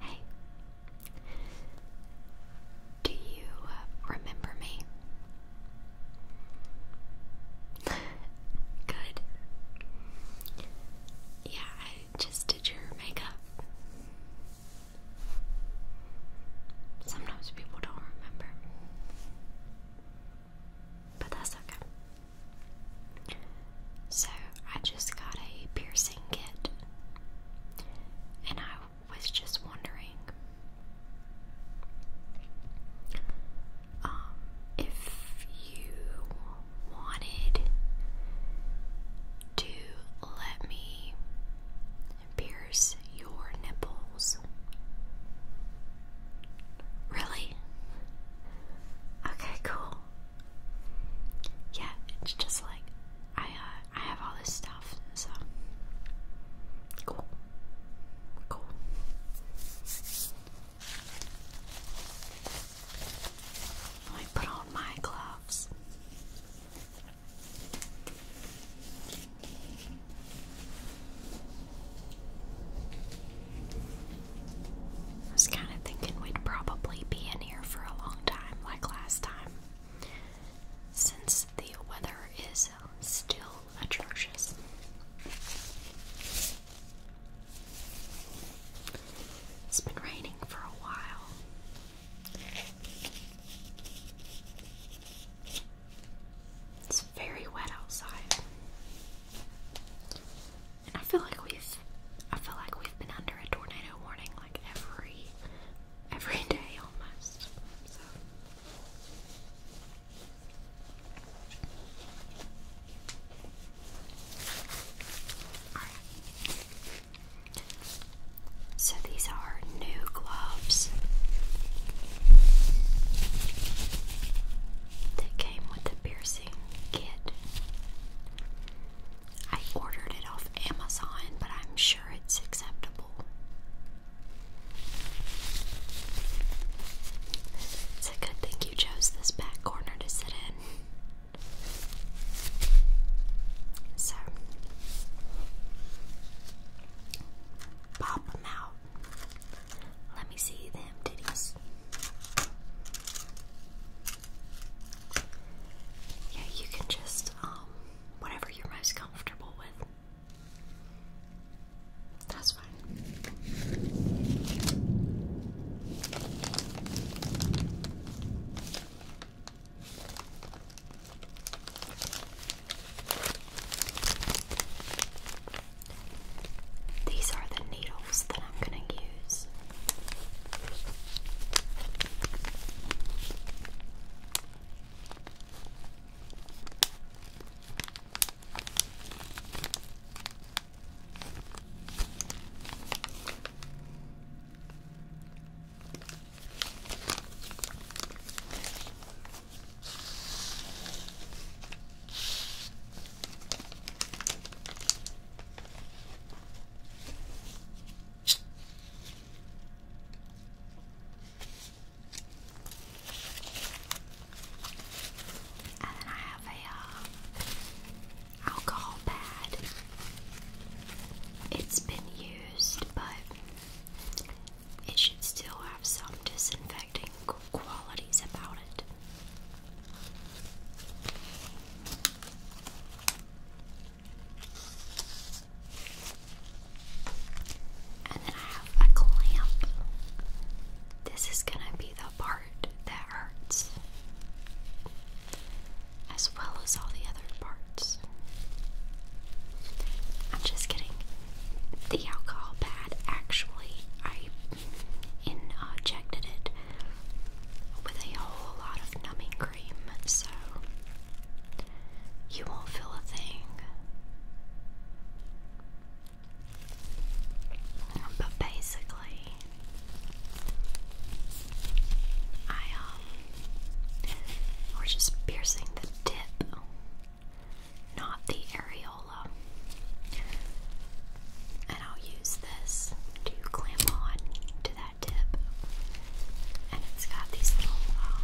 Hey, do you uh, remember me? Good. Yeah, I just did your makeup. Sometimes people don't remember. But that's okay. So I just got a piercing kit. And I was just wondering um, if you wanted to let me pierce your nipples. Really? Okay, cool yeah, it's just like I uh, I have all this stuff, so cool, cool. Let me put on my gloves. I was kind of thinking we'd probably be in here for a long time, like last time, since the weather is still atrocious. It's been raining for a while. It's very wet outside. I feel like we've I feel like we've been under a tornado warning like every every day almost. So these are new gloves that came with the piercing kit. I ordered it off Amazon, but I'm sure it's acceptable. It's a good thing you chose this back corner to sit in. So, pop them out. Let me see them titties. Yeah, you can just, um, whatever you're most comfortable with. That's fine. These are the needles that I'm going to use. And then I have a uh, alcohol pad. It's been used, but it should still have some disinfecting qualities about it. And then I have a clamp. This is going to be the part that hurts, as well as all the other parts. I'm just kidding. The alcohol pad actually, I uh, injected it with a whole lot of numbing cream, so you won't feel a thing. But basically, I um, we're just piercing the tip not the areola. And I'll use this to clamp on to that tip. And it's got these little, um,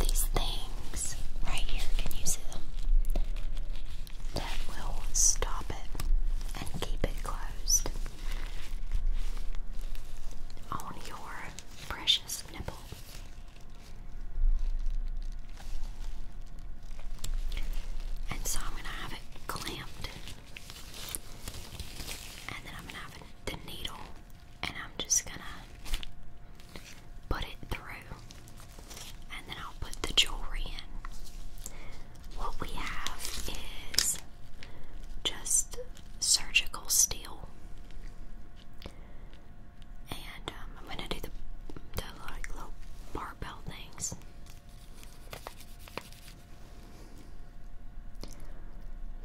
these things right here. Can you see them? That will stop it and keep it closed on your precious nipple. And so I'm going to have it clamped. And then I'm going to have the needle and I'm just going to put it through. And then I'll put the jewelry in. What we have is just surgical steel. And um, I'm gonna do the, the like barbell things.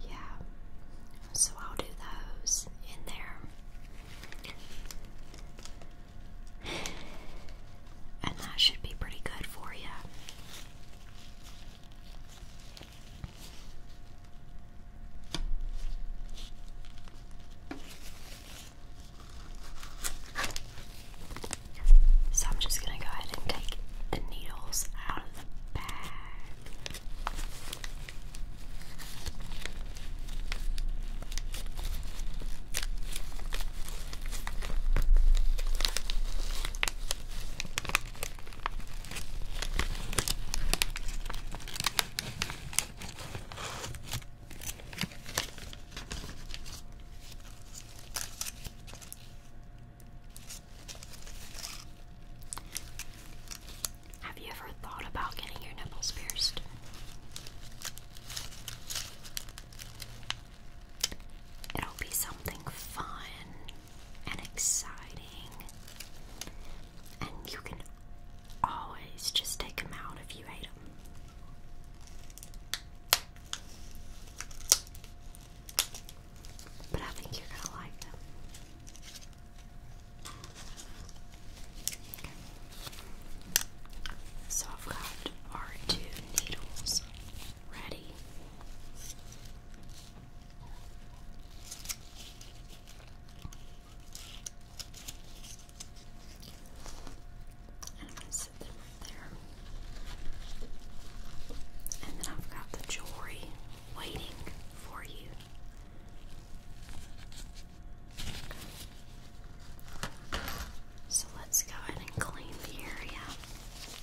Yeah, so I'll do those in there. And that should be pretty good for you. So I'm just going to go ahead and take the needles out of the bag. Have you ever thought about getting your nipples pierced? It'll be something fun and exciting. And you can always just take them out if you hate them. But I think you're gonna like them. So I've got our two needles ready. And I'm them there. And then I've got the jewelry waiting for you. So let's go ahead and clean the area.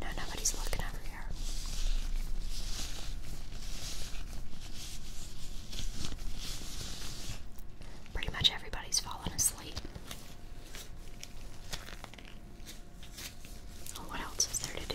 No, nobody's looking over here. Pretty much everybody's fallen asleep. what else is there to do?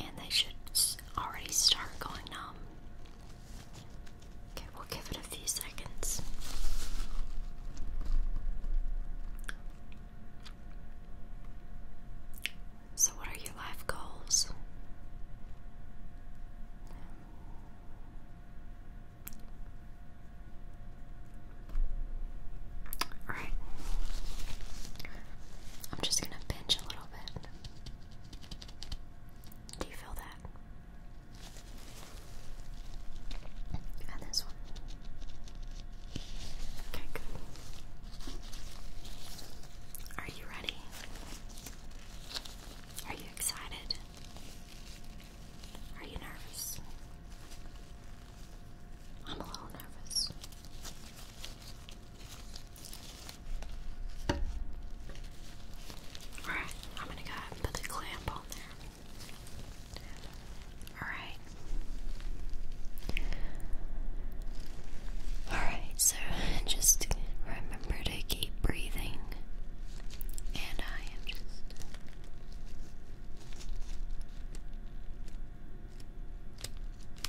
and they should already start going numb. Okay, we'll give it a few seconds. So, what are your life goals? All right. I'm just going to pinch a little bit. Do you feel that? And this one. Okay, good. Are you ready? Are you excited? Are you nervous? I'm a little nervous. Alright, I'm gonna go put the clamp on there. Alright. Alright, so just remember to keep breathing. And I am just.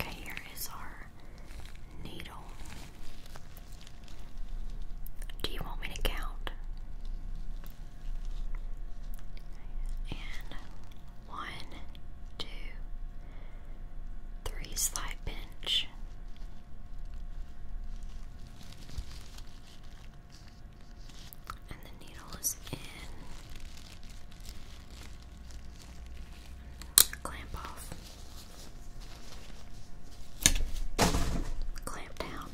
Okay, here is our needle. Do you want me to count? And one, two, three, slide bend. And the needle is in. Clamp off. Clamp down.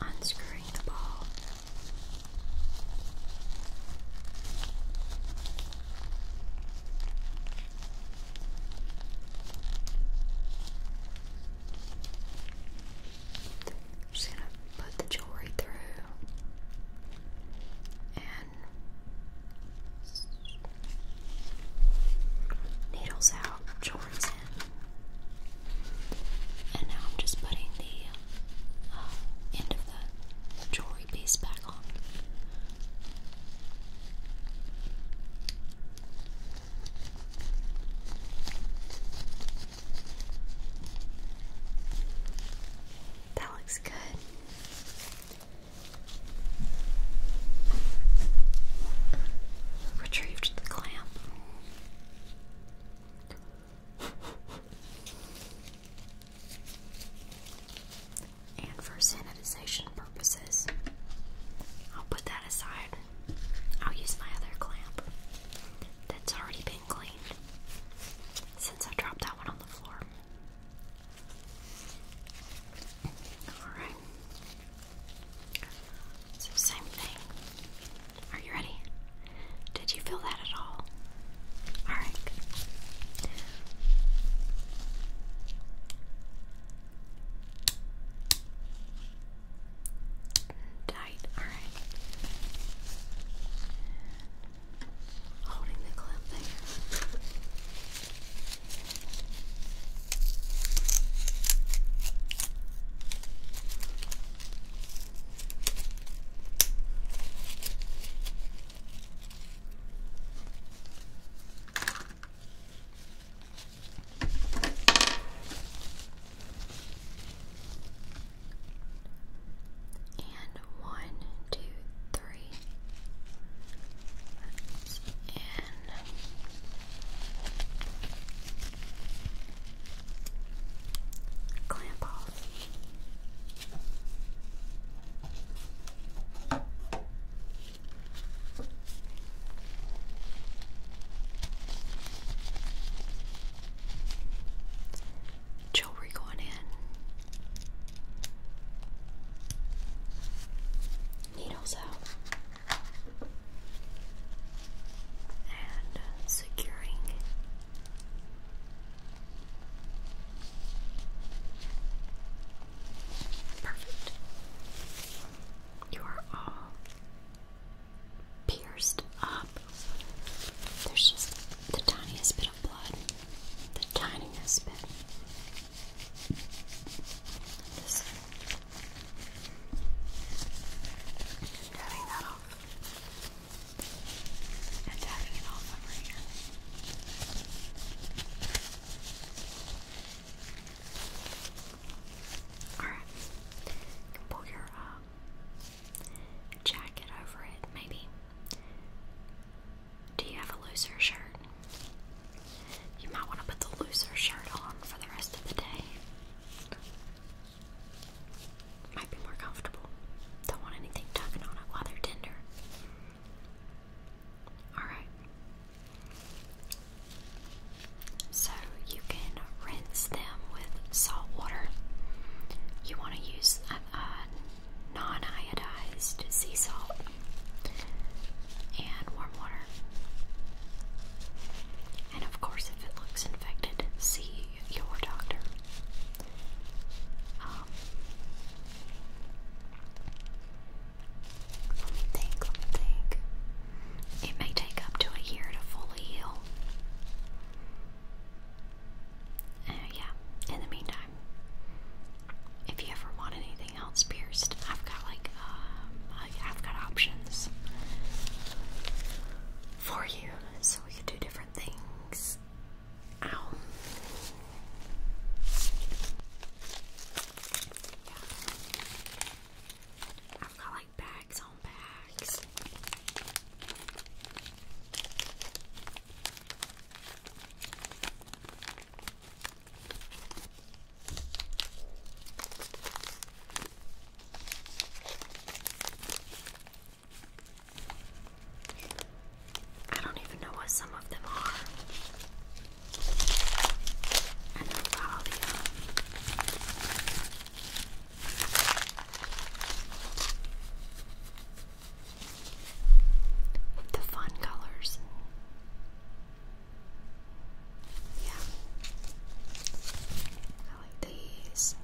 Unscrewing the ball. Just gonna put the jewelry through and needles out, jewelry's and now I'm just putting the uh, end of the jewelry piece back on. That looks good. Retrieved the clamp and for sanitization purposes, I'll put that aside. I'll use my other clamp that's already been cleaned since I dropped that one on the floor. Alright same thing. Are you ready? Did you feel that at all? Alright. Tight, alright. Holding the clip there. And one, two, three, and Clamp off. Jewelry going in. Needles out and securing perfect. You are all pierced up. There's just the tiniest bit of blood, the tiniest bit. Just tapping that off and tapping it off over here. Alright, you pull your jacket over it, maybe. Do you have a looser shirt? You might want to put the looser shirt on for the rest of the day. Might be more comfortable. Don't want anything tugging on it while they're tender. Alright. So you can rinse them with salt water. You want to use a, a non iodized sea salt and warm water. And of course, if it looks infected, see your doctor. Um, let me think, let me think. It may take up to a year to fully heal. Uh, yeah, in the meantime, if you ever want anything else pierced, I've got like um, I've got options for you, so we can do different things. Ow. I've got like bags on bags. I don't even know what some of them are. I know about all the um, The fun colors. Yeah. I like these.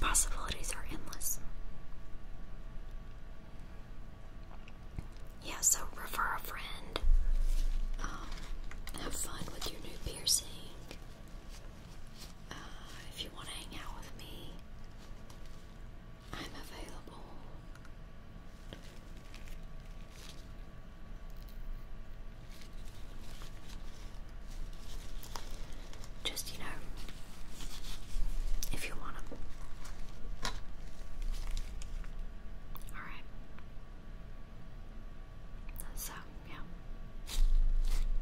Possibilities are endless. Yeah, so refer a friend. Um, have fun with your new piercing. Uh, if you want to hang out with me, I'm available. Just, you know, if you want them. Alright. So, um, yeah.